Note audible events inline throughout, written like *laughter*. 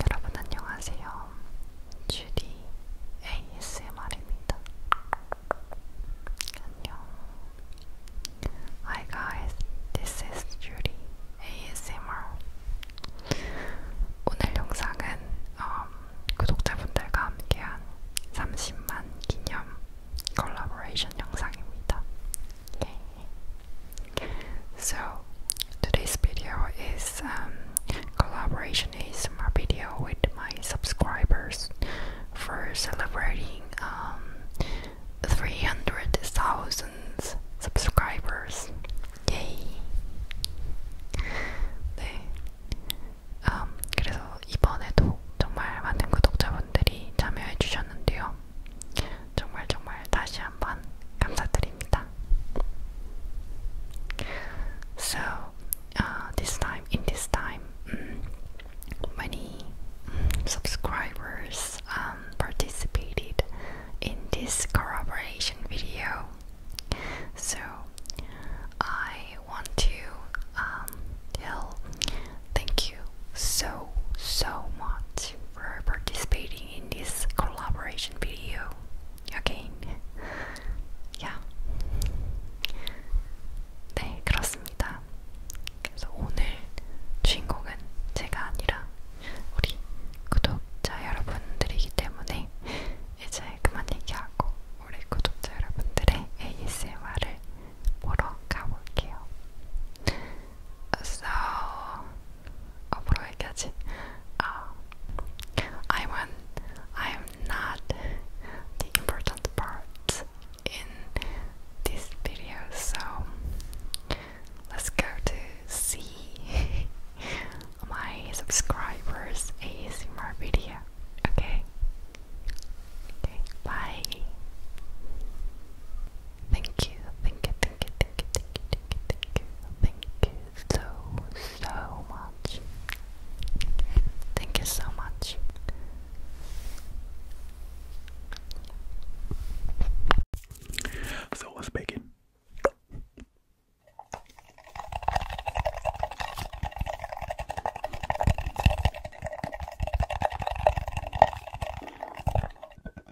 여러분 안녕하세요. 주디 ASMR입니다. 안녕. Hi guys, this is Judy ASMR. 오늘 영상은 um, 구독자분들과 함께한 30만 기념 콜라보레이션 영상입니다. 예. So today's video is um, collaboration is my video with my subscribers for celebrating um, 300,000 subscribers. Yay! 네, 그래서 이번에도 정말 많은 구독자분들이 참여해주셨는데요. 정말 정말 다시 so uh, this time, in this time, mm, many mm, subscribers um, participated in this collaboration video. So I want to um, tell thank you so so much for participating in this collaboration video. 여긴 야. 네, 그렇습니다. 그래서 오늘 주인공은 제가 아니라 우리 구독자 여러분들이기 때문에 이제 그만 얘기하고 우리 구독자 여러분들의 ASMR을 보러 가볼게요. So, 앞으로 얘기하지. 아, I'm an, I'm not the important part in this video, so let's go to see *laughs* my subscribers' ASMR video. Okay. Okay. Bye. Thank you. Thank you. Thank you. Thank you. Thank you. Thank you. Thank you. Thank you so, so much. Thank you so much. So let's begin.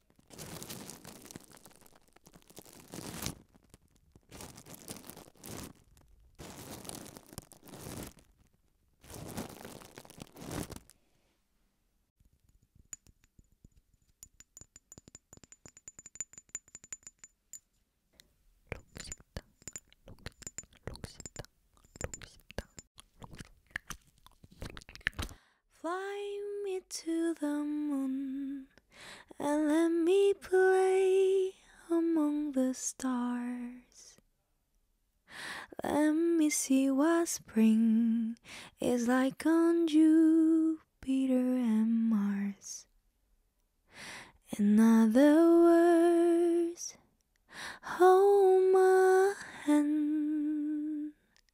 록식당, 록, 록식당, 록식당, 록식당, Fly me to the moon and let me play among the stars. Let me see what spring is like on Jupiter and Mars. In other words, hold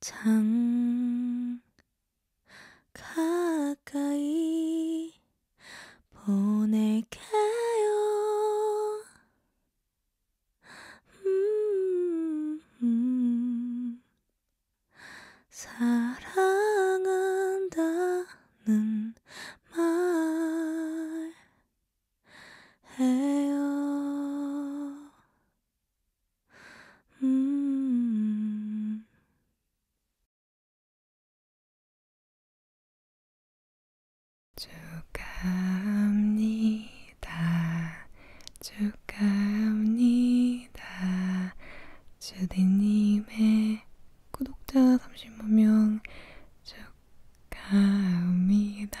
장 가까이 보낼게요. 음, 음, 사랑한다는 말 해요. 음. 축하합니다. 축하합니다. 주디님의 구독자 30만 명 축하합니다.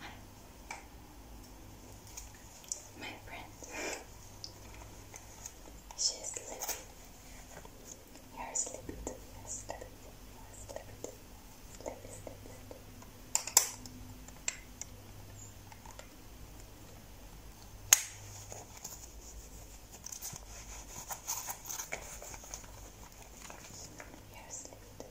Hi. My friend. She's sleeping. You're sleeping too. you Sleepy, sleepy, sleepy. You're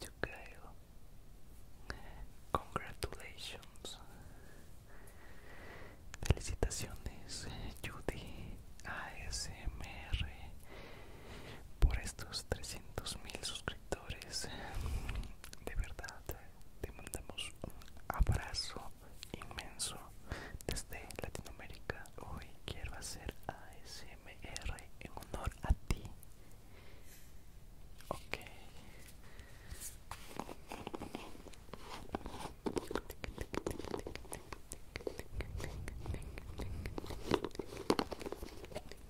Yo creo. Congratulations. Felicitaciones, Judy ASMR por estos 300 mil suscriptores de verdad te mandamos un abrazo inmenso desde Latinoamérica hoy quiero hacer ASMR en honor a ti ok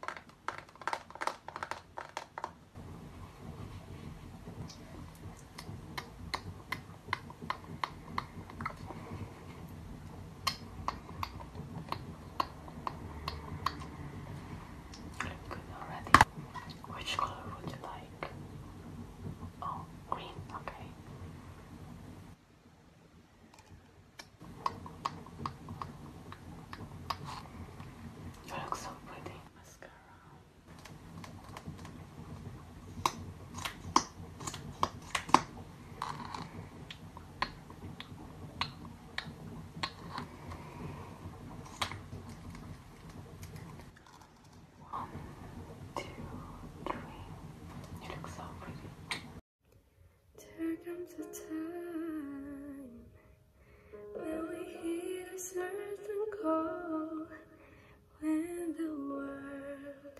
Good Which color would you like? Oh, green, okay. You look so pretty. Mascara. One, two, three. You look so pretty. There comes a time when we hear a certain call, when the world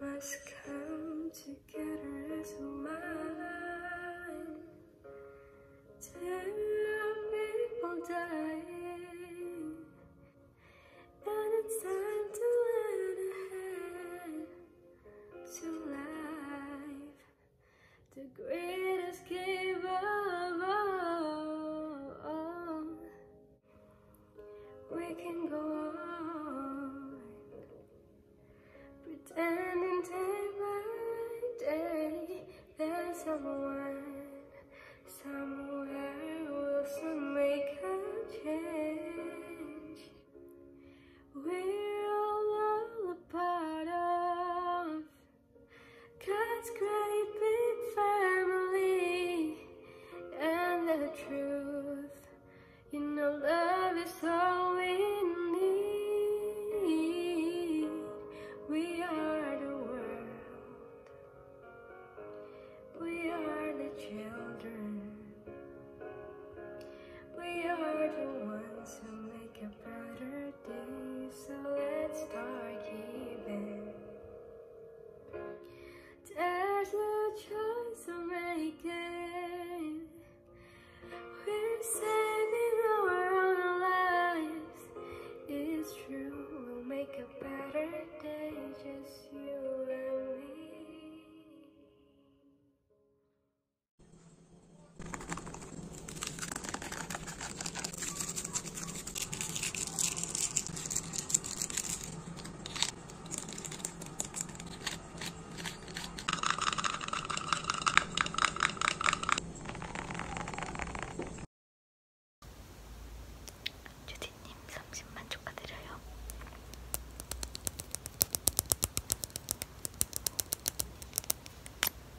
must come together as one. There people dying, and it's time to learn ahead to life the greatest giver of all. We can go on pretending day by day there's someone somewhere who will soon make a change. We're all a part of God's great big family and the truth. You know, love is all we need. We are the world, we are the children, we are the ones who make a brighter birthday, so let's start giving. There's no choice I'm making. We're saving our own lives. It's true, we'll make a better day, just you and me. 주디님 30만 축하드려요.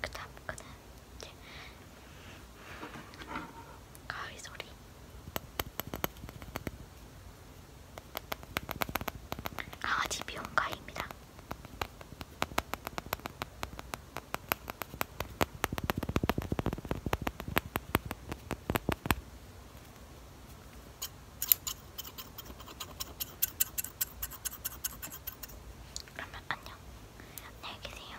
그 다음 거는 이제 가위 소리. 강아지 미용가입니다. 아, 그러면 안녕. 안녕히 계세요.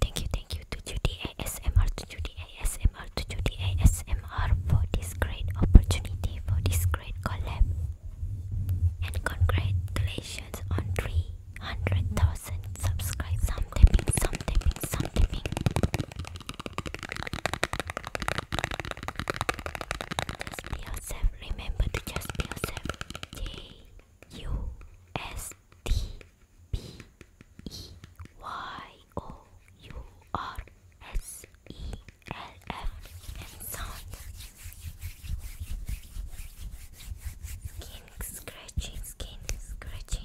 Thank you, thank you to Judy ASMR, to Judy ASMR, to Judy ASMR for this great opportunity, for this great collab. And congratulations on 300,000 subscribers. Some tapping, some tapping, some tapping. Just be yourself. Remember to just be yourself. J U S T B E Y O U R S E L F and sound. Skin scratching, skin scratching.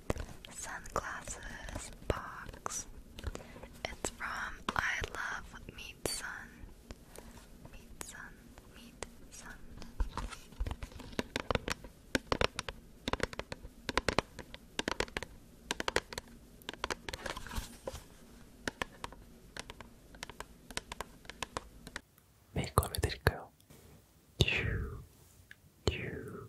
sunglasses box. It's from I Love Meat Sun. Meat Sun, Meat Sun. 메이크 업 해드릴까요? 듀, 듀.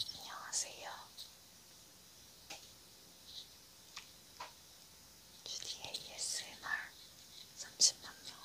안녕하세요. 주디 ASMR 30만명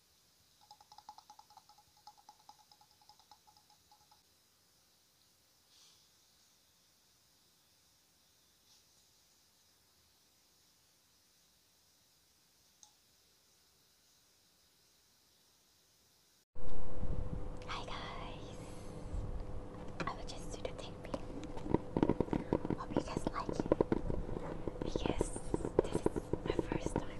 Hi guys, I would just do the tapping. Hope you guys like it because this is my first time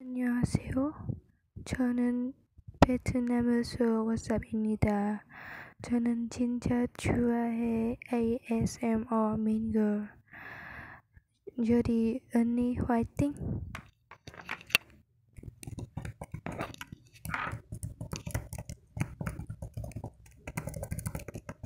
안녕하세요. 저는 베트남에서 워쌉입니다. 저는 진짜 좋아해 ASMR 민걸. 저리 언니 화이팅!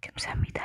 감사합니다.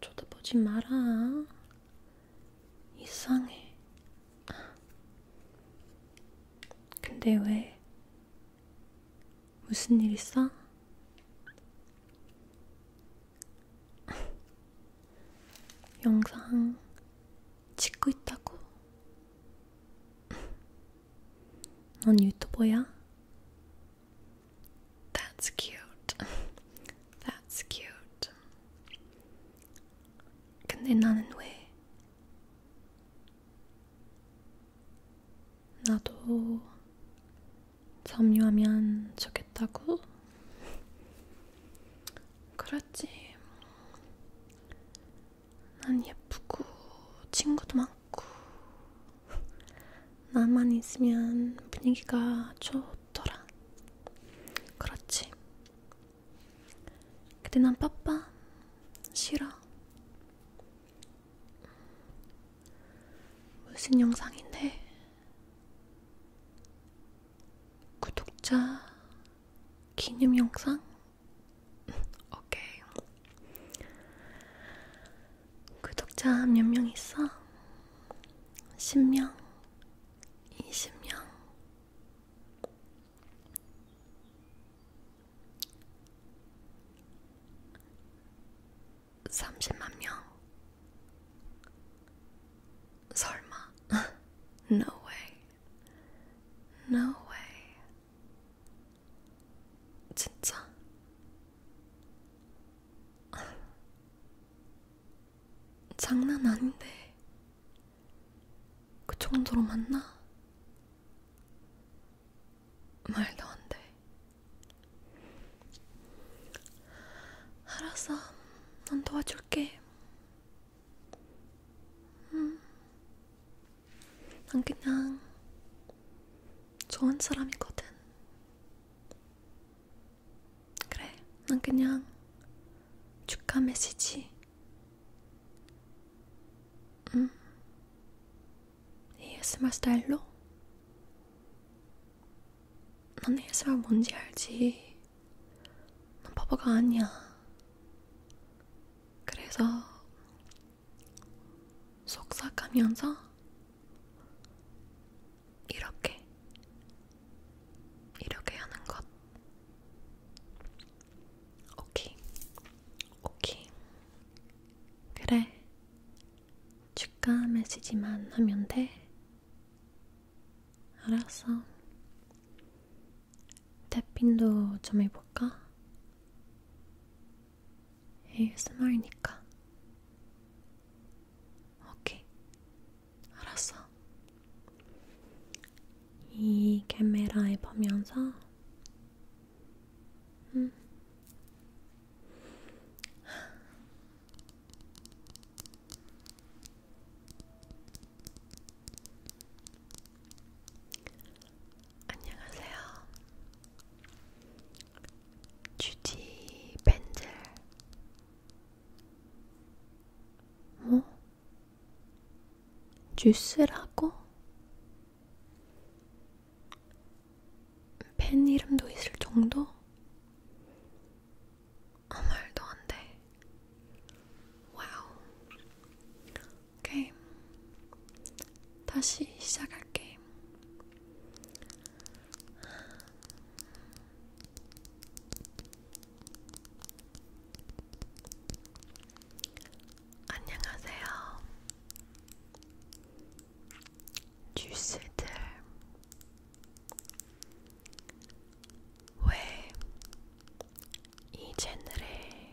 쳐다보지 마라. 이상해. 근데 왜? 무슨 일 있어? 영상 찍고 있다고. 넌 유튜버야? That's cute. *laughs* That's cute. 근데 나는 왜? 나도 점유하면 좋겠다고? 그렇지. 난 예쁘고 친구도 많고 나만 있으면 분위기가 좋더라. 그렇지. 근데 난 빠빠 싫어. 무슨 영상인데? 구독자 기념 영상? *laughs* 오케이. 구독자 그 몇명 있어? 10명? 20명? 삼십만 명. 설마. *laughs* no way. no way. 진짜. 장난 아닌데 그 정도로 맞나? 말도 안 돼. 알았어, 난 도와줄게. 음, 난 그냥 좋은 사람이거든. 그래, 난 그냥 축하 메시지. 음. ASMR 스타일로? 난 ASMR 뭔지 알지. 난 바보가 아니야. 그래서 속삭하면서 이렇게 이렇게 하는 것 오케이 오케이 그래 축하 메시지만 하면 돼 알았어 탭핑도 좀 해볼까? ASMR니까 오케이. 알았어. 이 카메라에 보면서 음. 안녕하세요. 주지 벤젤 뭐? 어? 주스라고? 펜 이름도 있을 정도? 아 말도 안 돼. 와우. 오케이. 다시 시작할게. 안녕하세요. 뉴스들 왜 이 채널에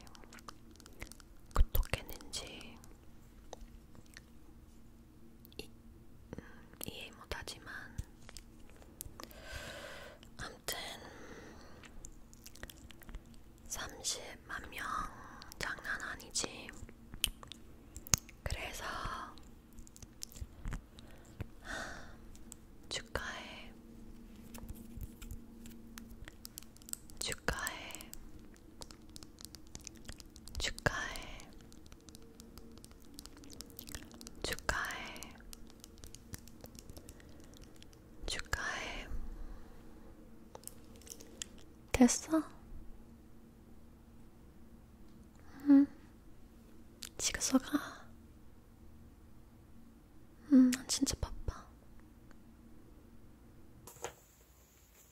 구독했는지 이, 음, 이해 못하지만 아무튼 30만 명 장난 아니지. 그래서 축하해. 축하해. 축하해. 축하해. 축하해. 됐어? 응. 지금서 가. 응, 난 진짜 바빠.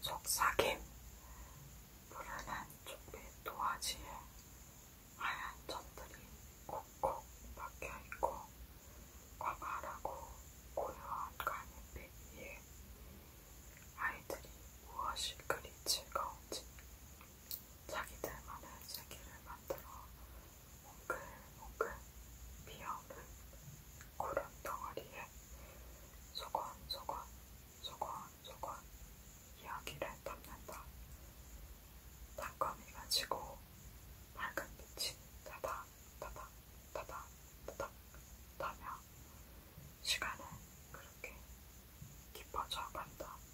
속삭임 푸른한 쪽빛 도화지에 하얀 점들이 콕콕 박혀있고 과발하고 고요한 가늘빛 위에 아이들이 무엇이 그리 즐거운지 자기들만의 세계를 만들어 몽글몽글 비어오는 구름 덩어리에 소곤소곤 소곤소곤 이야기를 담는다. 단검이 가지고 밝은 빛이 다닥 다닥 다닥 다닥 다며 시간은 그렇게 깊어져 간다.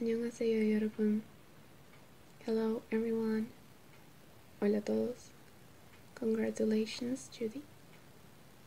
안녕하세요 여러분. Hello everyone. Hola todos. Congratulations, Judy.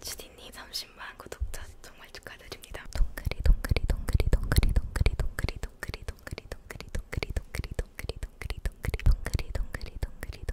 주디님 30만 구독자 정말 축하드립니다. 동그리 동그리 동그리 동그리 동그리 동그리 동그리 동그리 동그리 동그리 동그리 동그리 동그리 동그리 동그리 동그리 동그리 동그리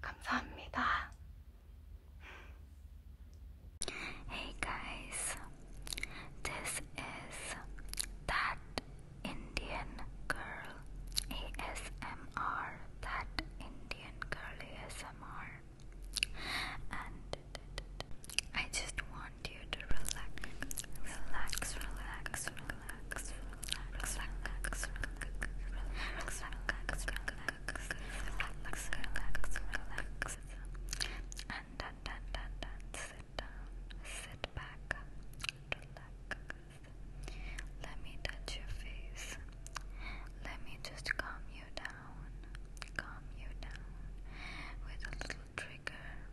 감사합니다. Hey guys, this is that Indian girl ASMR. That Indian girl ASMR. And I just want you to relax, relax, relax, relax relax, relax, relax, relax, relax, relax, relax, and dun, dun, dun, dun. sit down, sit back, relax. Let me touch your face. Let me just calm you down, calm you down with a little trigger.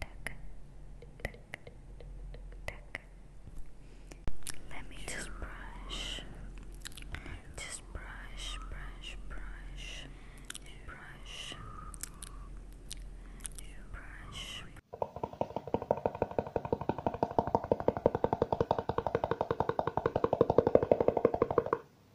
tuck, tuck, tuck. Let me just brush, just brush, brush, brush, brush, brush. Brush,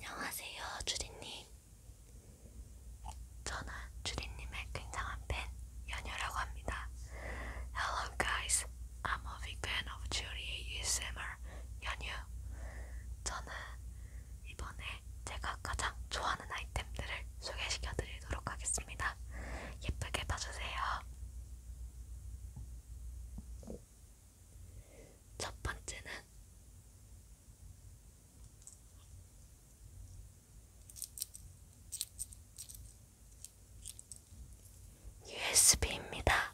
안녕하세요, 주디님. 저는 주디님의 굉장한 팬 연유라고 합니다. Hello guys, I'm a big fan of Judy ASMR 연유. 저는 이번에 제가 가장 좋아하는 아이템들을 소개시켜드리도록 하겠습니다. 예쁘게 봐주세요. 첫 번째는 USB입니다.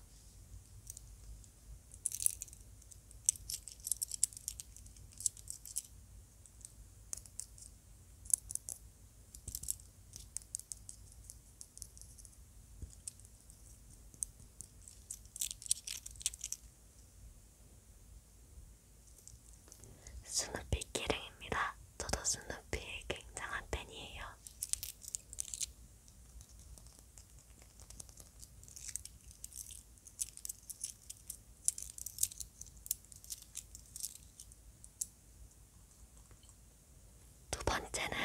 스누피 기랭입니다. 저도 스누피의 굉장한 팬이에요. 두 번째는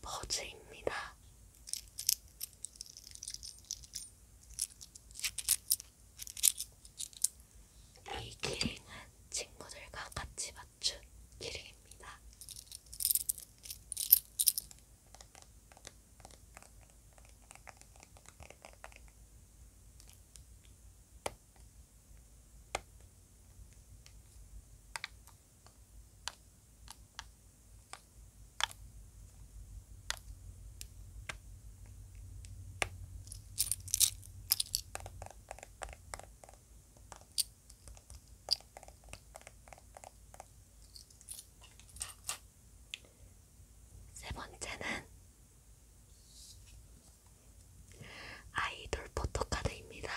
버즈입니다. 이 기링은 친구들과 같이 맞춘 기링입니다. 세 번째는 아이돌 포토카드입니다.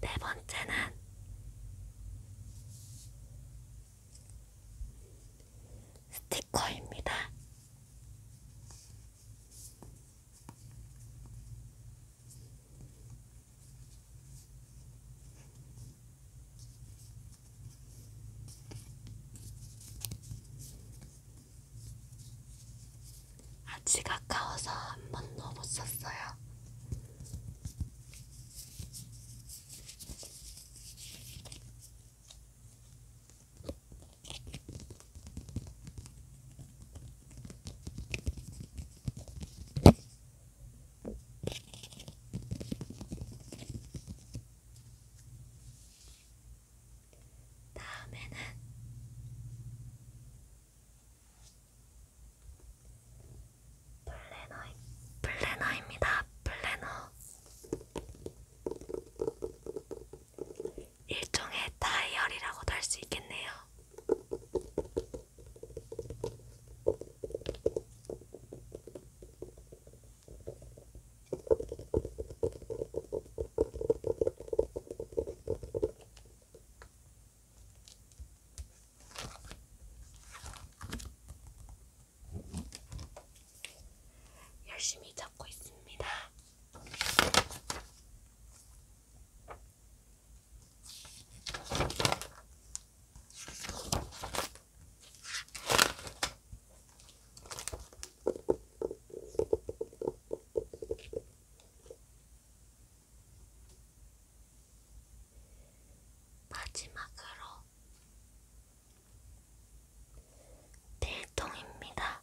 네 번째는 스티커입니다. 아직 아까워서 한 번도 못 썼어요. 다음에는 플래너, 플래너입니다. 플래너. 일종의 다이어리라고도 할 수 있겠네요. 열심히 잡고 있습니다. 마지막으로 대통입니다.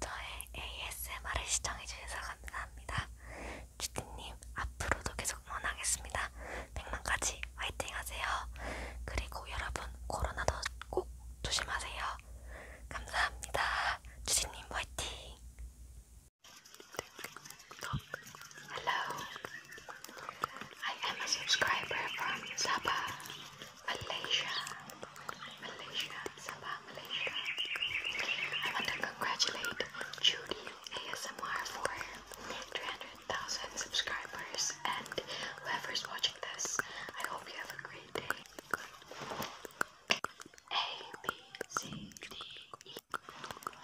저의 ASMR을 시청해주셔서 감사합니다. 주디님 앞으로도 계속 응원하겠습니다. 100만까지 화이팅 하세요. 그리고 여러분 코로나도 꼭 조심하세요. 감사합니다. 주디님 화이팅! Hello, I am a subscriber from Sabah. Malaysia, Malaysia, Sabah, Malaysia. I want to congratulate Judy ASMR for 300,000 subscribers and whoever's watching this, I hope you have a great day. A, B, C, D, E.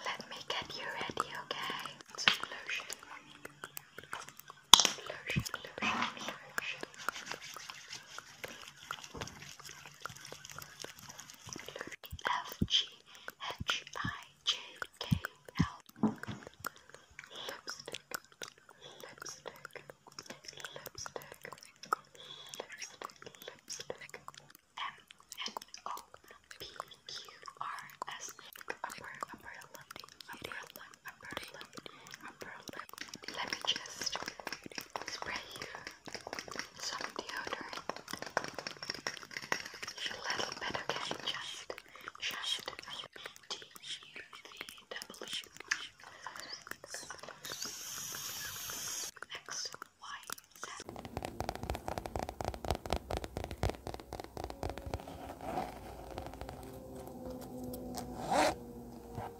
Let me get you ready, okay? So lotion. Lotion, lotion, lotion. F G H I J K L lipstick lipstick lipstick lipstick lipstick M N O P Q R S upper upper lip upper lip upper lip let me just spray you some deodorant. a little bit, okay? Just, just D U V W.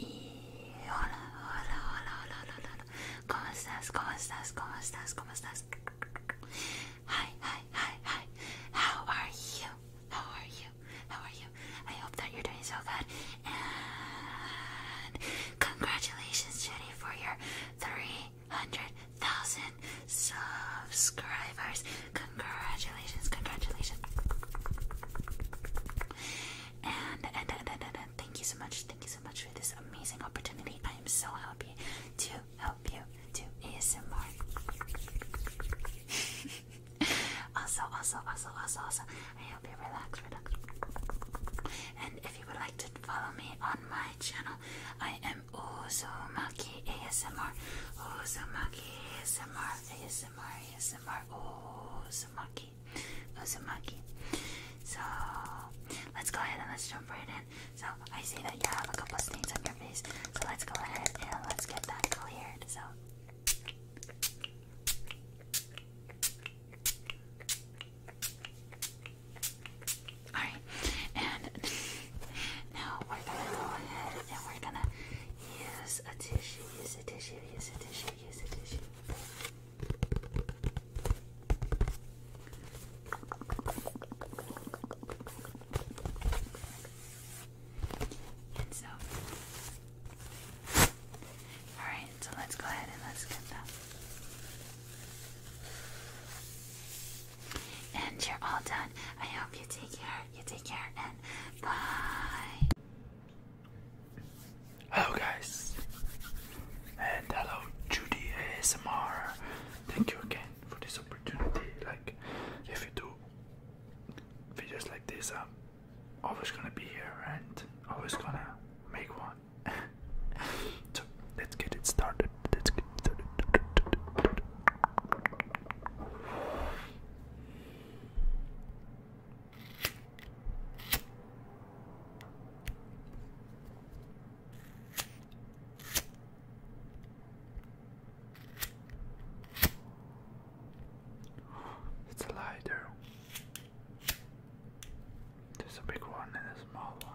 hola, hola, hola, hola, hola, hola. How are you? How are you? How are you? I hope that you're doing so good. And congratulations, Jenny, for your 300,000 subscribers. Congratulations, congratulations. And and, and, and, and, thank you so much, thank you so much for this amazing opportunity. I am so happy to help you do ASMR. *laughs* also, also, also, also, also, I hope you relax, And if you would like to follow me on my channel, I am Uzumaki ASMR. Uzumaki ASMR, ASMR, ASMR, Uzumaki monkey. Who's a monkey? So let's go ahead and let's jump right in. So I see that you have a couple stains on your face. So let's go ahead and let's get that cleared. So. Alright, and *laughs* now we're gonna go ahead and we're gonna use a tissue, use a tissue, use a tissue, use a tissue. And all right. So let's go ahead and let's get that. And you're all done. I hope you take care. You take care and bye. Hello guys, and hello Judy ASMR. Thank you again for this opportunity. Like, if you do videos like this, I'm always gonna be here and always gonna make one. *laughs* so let's get it started. Let's get started. It's a lighter. There's a big one and a small one.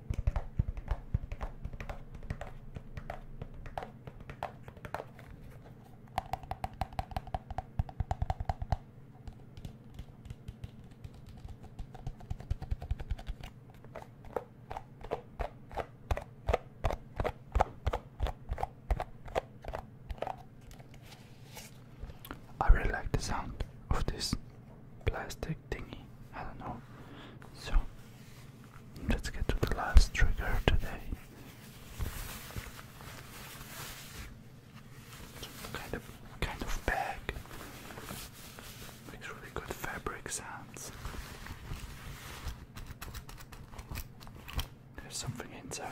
I really like the sound of this plastic thingy. I don't know. So Let's get to the last trigger today. Kind of, kind of bag. Makes really good fabric sounds. There's something inside.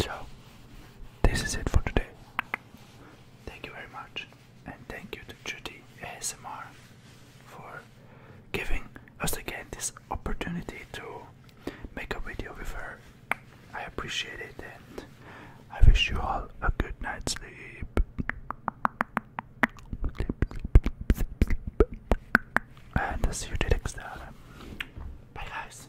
So, this is it for today. Thank you very much, and thank you to Judy ASMR for giving us again this opportunity to make a video with her I appreciate it and I wish you all a good night's sleep. And see you next time. Bye guys.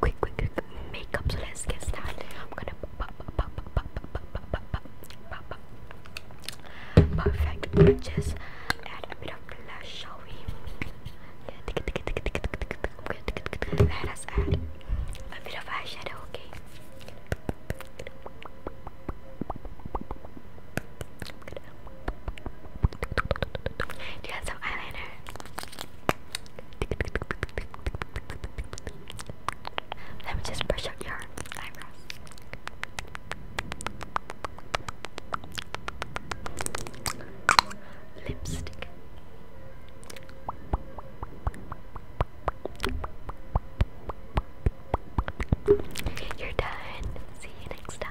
quick quick quick makeup so let's get started i'm gonna perfect just add a bit of blush shall we let us add a bit of eyeshadow okay do you have some eyeliner? Let me just brush out your eyebrows. Lipstick. You're done. See you next time.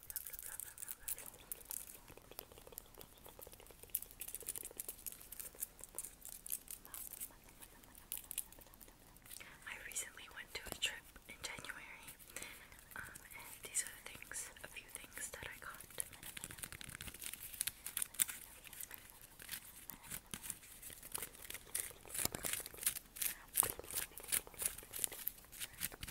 I recently went to a trip in January, um, and these are the things, a few things that I got.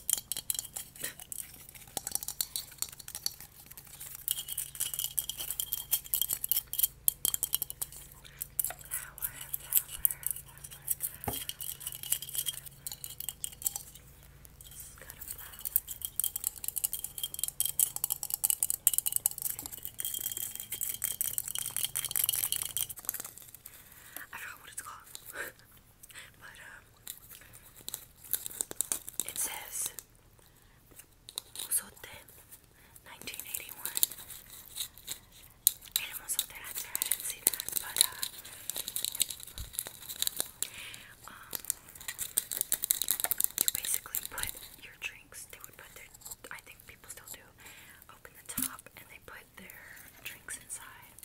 I forgot what it's called. *laughs* But, um, it says Mozote 1981. Uh, um, you basically put your drinks, they would put their, I think people still do, open the top and they put their drinks inside.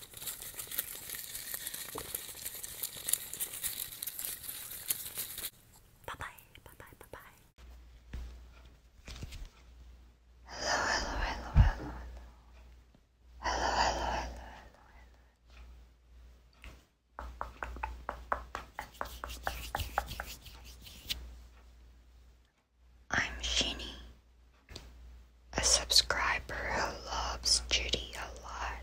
Bye bye, bye bye, bye bye. Hello, hello, hello, hello, hello. Hello, I'm Shinny a subscriber who loves Judy a lot.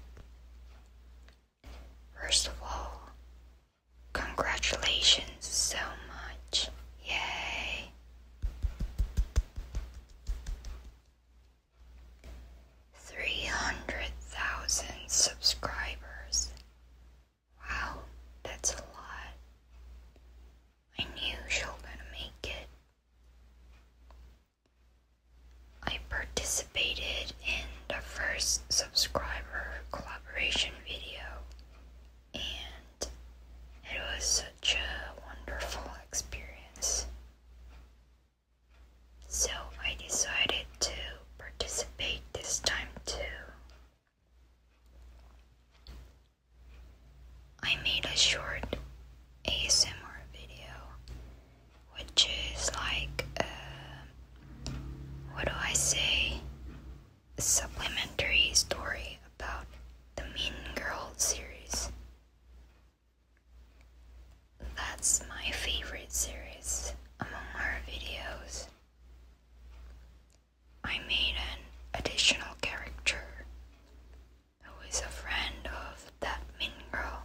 First of all, congratulations so much. Yay! Three hundred thousand subscribers. Wow, that's a lot. I knew she was gonna make it, I participated in the first subscriber collaboration video, and it was such a wonderful experience. So I decided to participate this time too. I made a short ASMR video, which is like, uh, what do I say? A supplementary story about the Mean Girl series. That's my favorite series among our videos. I made an additional character who is a friend of that mean girl.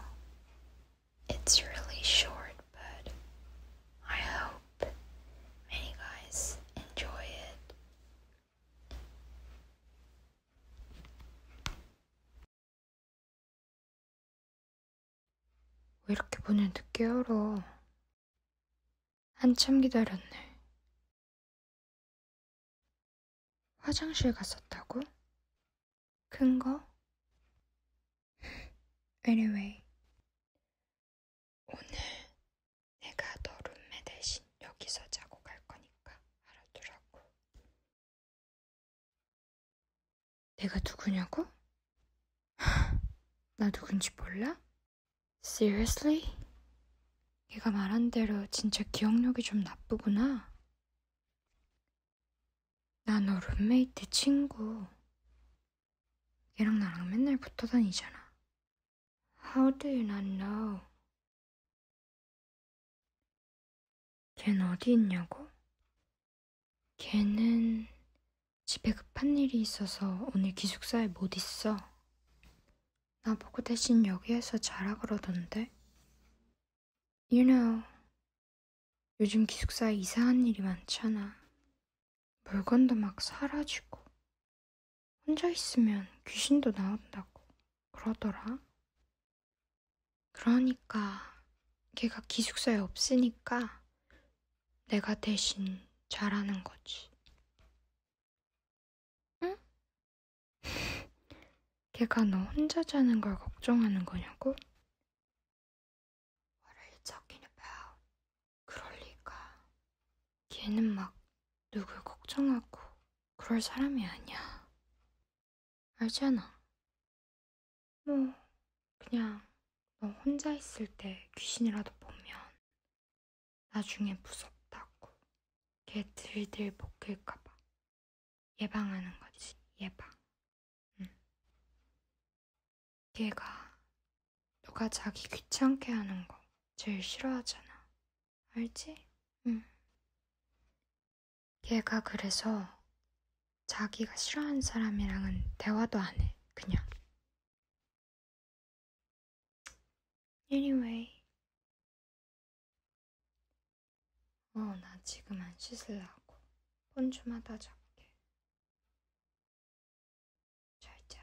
It's really short, but I hope many guys enjoy it. are 왜 이렇게 보내 늦게 열어? 한참 기다렸네. 화장실 갔었다고? 큰 거? anyway. 오늘 내가 너 룸메 대신 여기서 자고 갈 거니까 알아두라고. 내가 누구냐고? *gasps* 나 누군지 몰라? Seriously? 네가 말한 대로 진짜 기억력이 좀 나쁘구나. 나너 룸메이트 친구. 얘랑 나랑 맨날 붙어 다니잖아. How do you not know? 걘 어디 있냐고? 걔는 집에 급한 일이 있어서 오늘 기숙사에 못 있어. 나보고 대신 여기에서 자라 그러던데. You know, 요즘 기숙사에 이상한 일이 많잖아. 물건도 막 사라지고, 혼자 있으면 귀신도 나온다고 그러더라. 그러니까 걔가 기숙사에 없으니까 내가 대신 잘하는 거지. 응? 걔가 너 혼자 자는 걸 걱정하는 거냐고? What are you talking about? 그럴 리가. 걔는 막 누굴 걱정하고 그럴 사람이 아니야. 알잖아. 뭐, 그냥 너 혼자 있을 때 귀신이라도 보면 나중에 무섭다고 걔 들들 먹힐까봐 예방하는 거지. 예방. 응. 걔가 너가 자기 귀찮게 하는 거 제일 싫어하잖아. 알지? 응. 걔가 그래서 자기가 싫어하는 사람이랑은 대화도 안 해. 그냥. Anyway, 어, 나 지금 안 씻으려고. 폰좀 하다 잡게. 잘 자.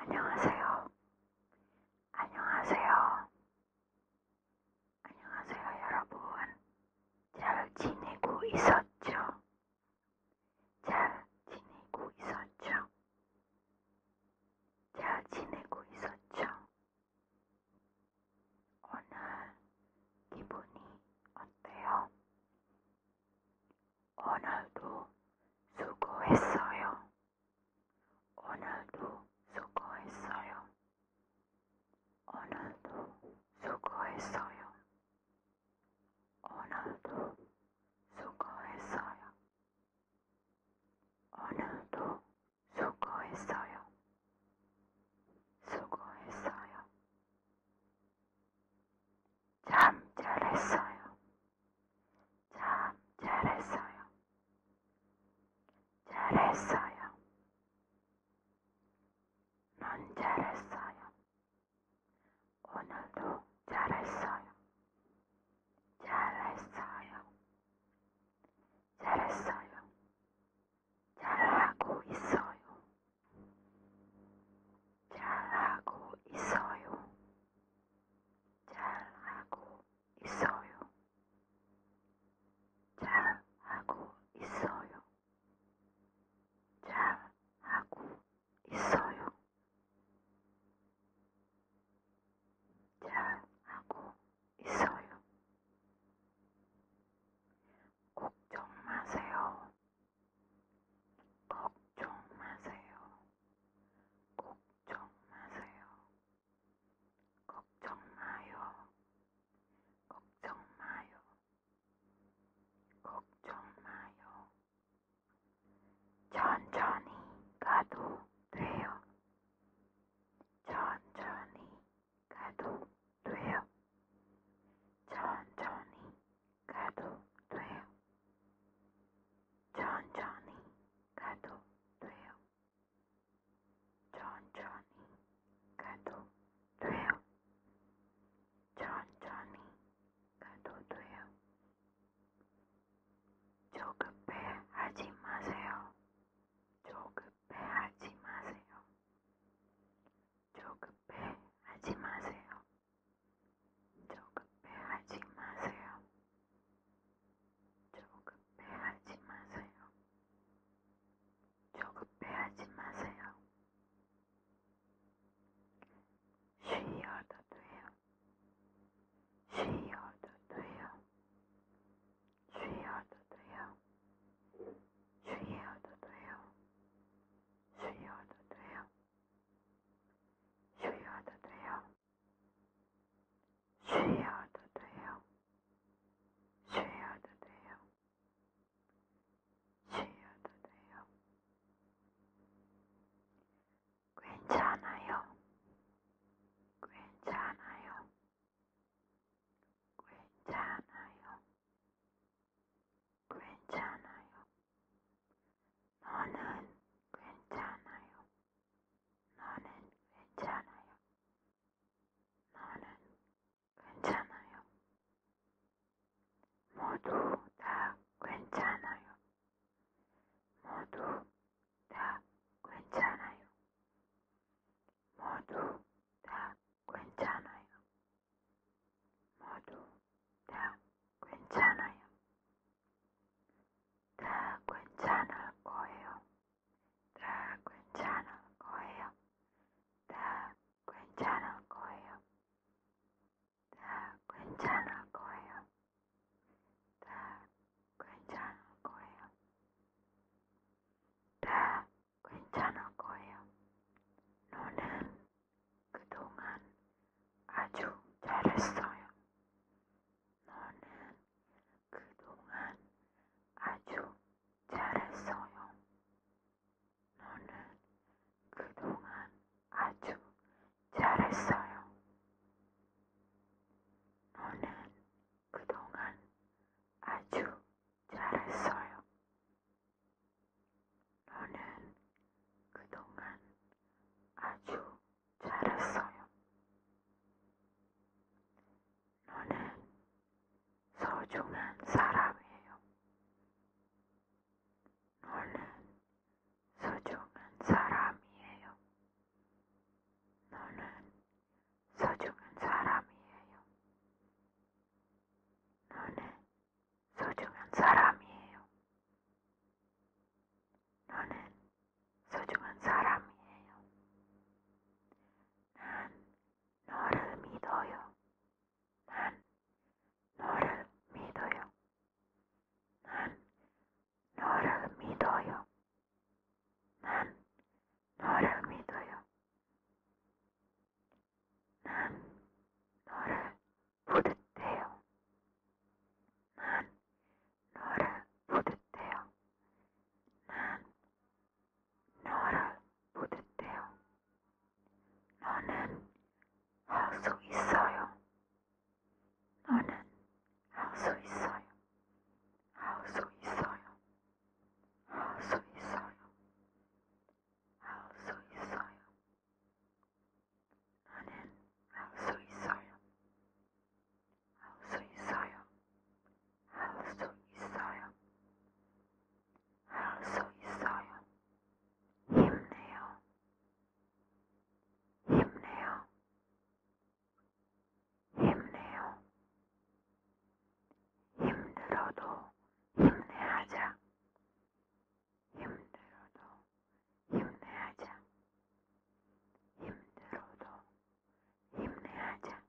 안녕하세요. 안녕하세요. 안녕하세요 여러분. 잘 지내고 있었죠? 잘 지내고 있었죠? 잘 지내고 있었죠? 오늘 기분이 어때요? 오늘도 수고했어요. 오늘도 수고했어요. 오늘도 수고했어요. 오늘도 수고했어요. 오늘도 수고했어요. 수고했어요. 참 잘했어요. 참 잘했어요. 잘했어요. 넌 잘했어요. 오늘도 잘했어요. 잘했어요. 잘했어요. 잘하고 있어요. 잘하고 있어요. 잘하고 있어요. 잘 하고 있어요. 잘 하고 있어요. 잘 하고 있어요. 걱정 마세요. 걱정 마세요. 걱정 마세요. 걱정 마요. 걱정 마요. 걱정 마요. 천천히 가도 돼요. 천천히 가도 돼요. 천천히 가도 돼요. 천천히 가도 돼요. 천천히 가도 돼요. 천천히 가도 돼요. 조급해 하지 마세요. 조급해 하지 마세요. 조급해 하지 마세요. 조급해 하지 마세요. 조금 빼하지 마세요. 조금 빼하지 마세요. 쉬어도 돼요. 쉬어도 돼요. 쉬어도 돼요. 쉬어도 돼요. 쉬어도 돼요. 쉬어도 돼요. 쉬어도 돼요. 쉬어도 돼요. 쉬어도 돼요. 괜찮아요. 괜찮아요. 괜찮아요. 괜찮아요. 너는 괜찮아요. 너는 괜찮아요. 너는 괜찮아요. 모두 다 괜찮아요. 모두 다 괜찮아요. 모두 다 괜찮아요. 모두 다 괜찮아요. 다 괜찮을 거예요. 다 괜찮은 거예요. 다 괜찮은 거예요. 다 괜찮은 거예요. 다 괜찮은 거예요. 다 괜찮은 거예요. 너는 그동안 아주 잘했어요. 너는 그동안 아주 잘했어요. 너는 그동안 아주 잘했어요. 너는 그동안 아주 잘했어요. 너는 그동안 아주 잘했어요. 너는 소중한 사람이에요. 너는 소중한 사람이에요. 너는 소중한 사람이에요. 너는 소중한 사람이에요. 너는 소중한 사람이에요. 난 너를 믿어요. 난 너를 믿어요. 난 너를 믿어요. 난 너를 믿어요. 난 너를 부듯해요. 난 너를 부듯해요. 난 너를 부딪대요. 너는 할 수 있어요. 너는 할 수 있어요. 할 수 있어요. 할 수 있어요. 할 수 있어요. 너는 할 수 있어요. 할수 있어요. 할수 있어요. 할수 있어요. 힘내요. 힘내요. 힘내요. 힘들어도 힘내하자. 힘들어도 힘내하자. 힘들어도 힘내하자.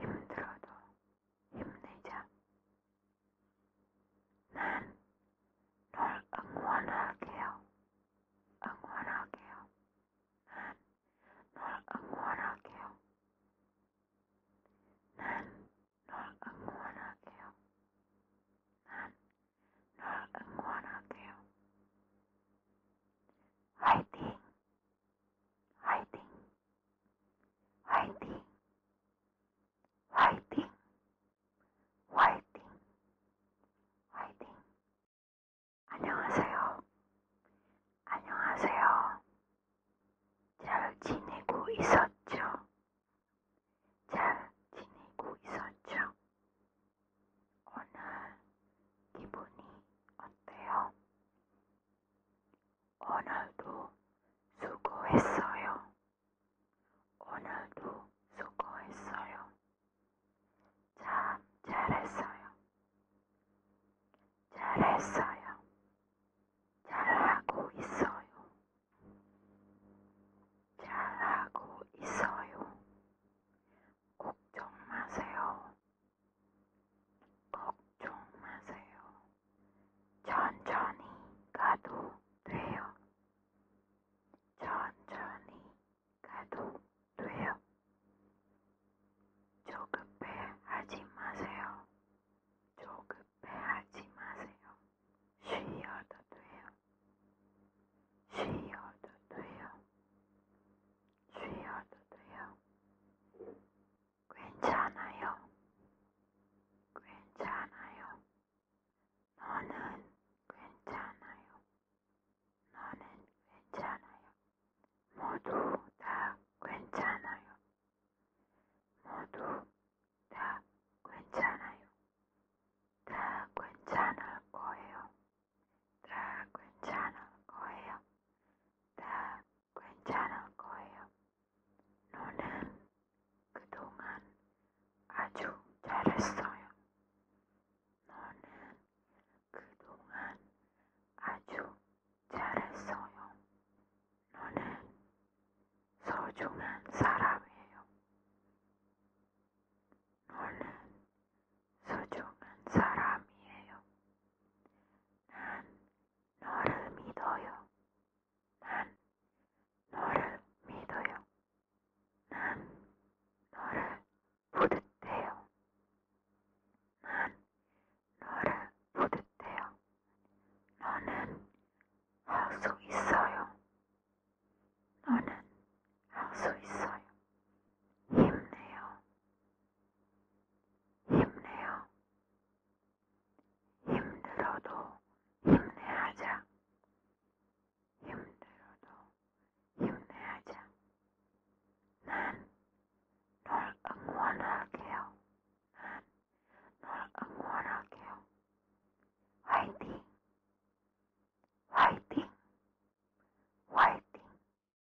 힘들어도 힘내자. 난널 응원할게요. 응원할게요. 난널 응원할게요. 난널 응원할게요. 난널 응원할게요. 화이팅! 화이팅, 화이팅, 화이팅, 화이팅, 화이팅. 안녕하세요. 안녕하세요. 잘 지내고 있었죠? 잘 지내고 있었죠? 오늘 기분이 어때요? 오늘도 수고했어요. 오늘도 수고했어요. 참 잘했어요. 잘했어요. 잘하고 있어요. 잘하고 있어요. 걱정 마세요. 걱정 마세요. 천천히 가도 돼요. 천천히 가도 돼요. 조급해 하지 마세요. 조급해 하지 마세요. 쉬어도 돼요. 쉬어도 돼요. 쉬어도 돼요. 괜찮아요. 괜찮아요. 너는 괜찮아요. 너는 괜찮아요. 모두 다 괜찮아요. 모두 다 괜찮아요. 다 괜찮을 거예요. 다 괜찮은 거예요. 다 괜찮은 거예요. 너는 그동안 아주 잘했어요. 너는 그동안 아주 잘했어요. 너는 소중한 사람이에요. 너는 소중한 사람이에요. 난 너를 믿어요. 난 너를 믿어요. 난 너를 부듯해요. 난 너를 부듯해요. 너는 할 수 있어요. 너는 할 수 있어요. 힘내요. 힘내요. 힘들어도 힘내하자. 힘들어도 힘내하자. 난널 응원할게요. 난널 응원할게요. 화이팅! 화이팅! 화이팅!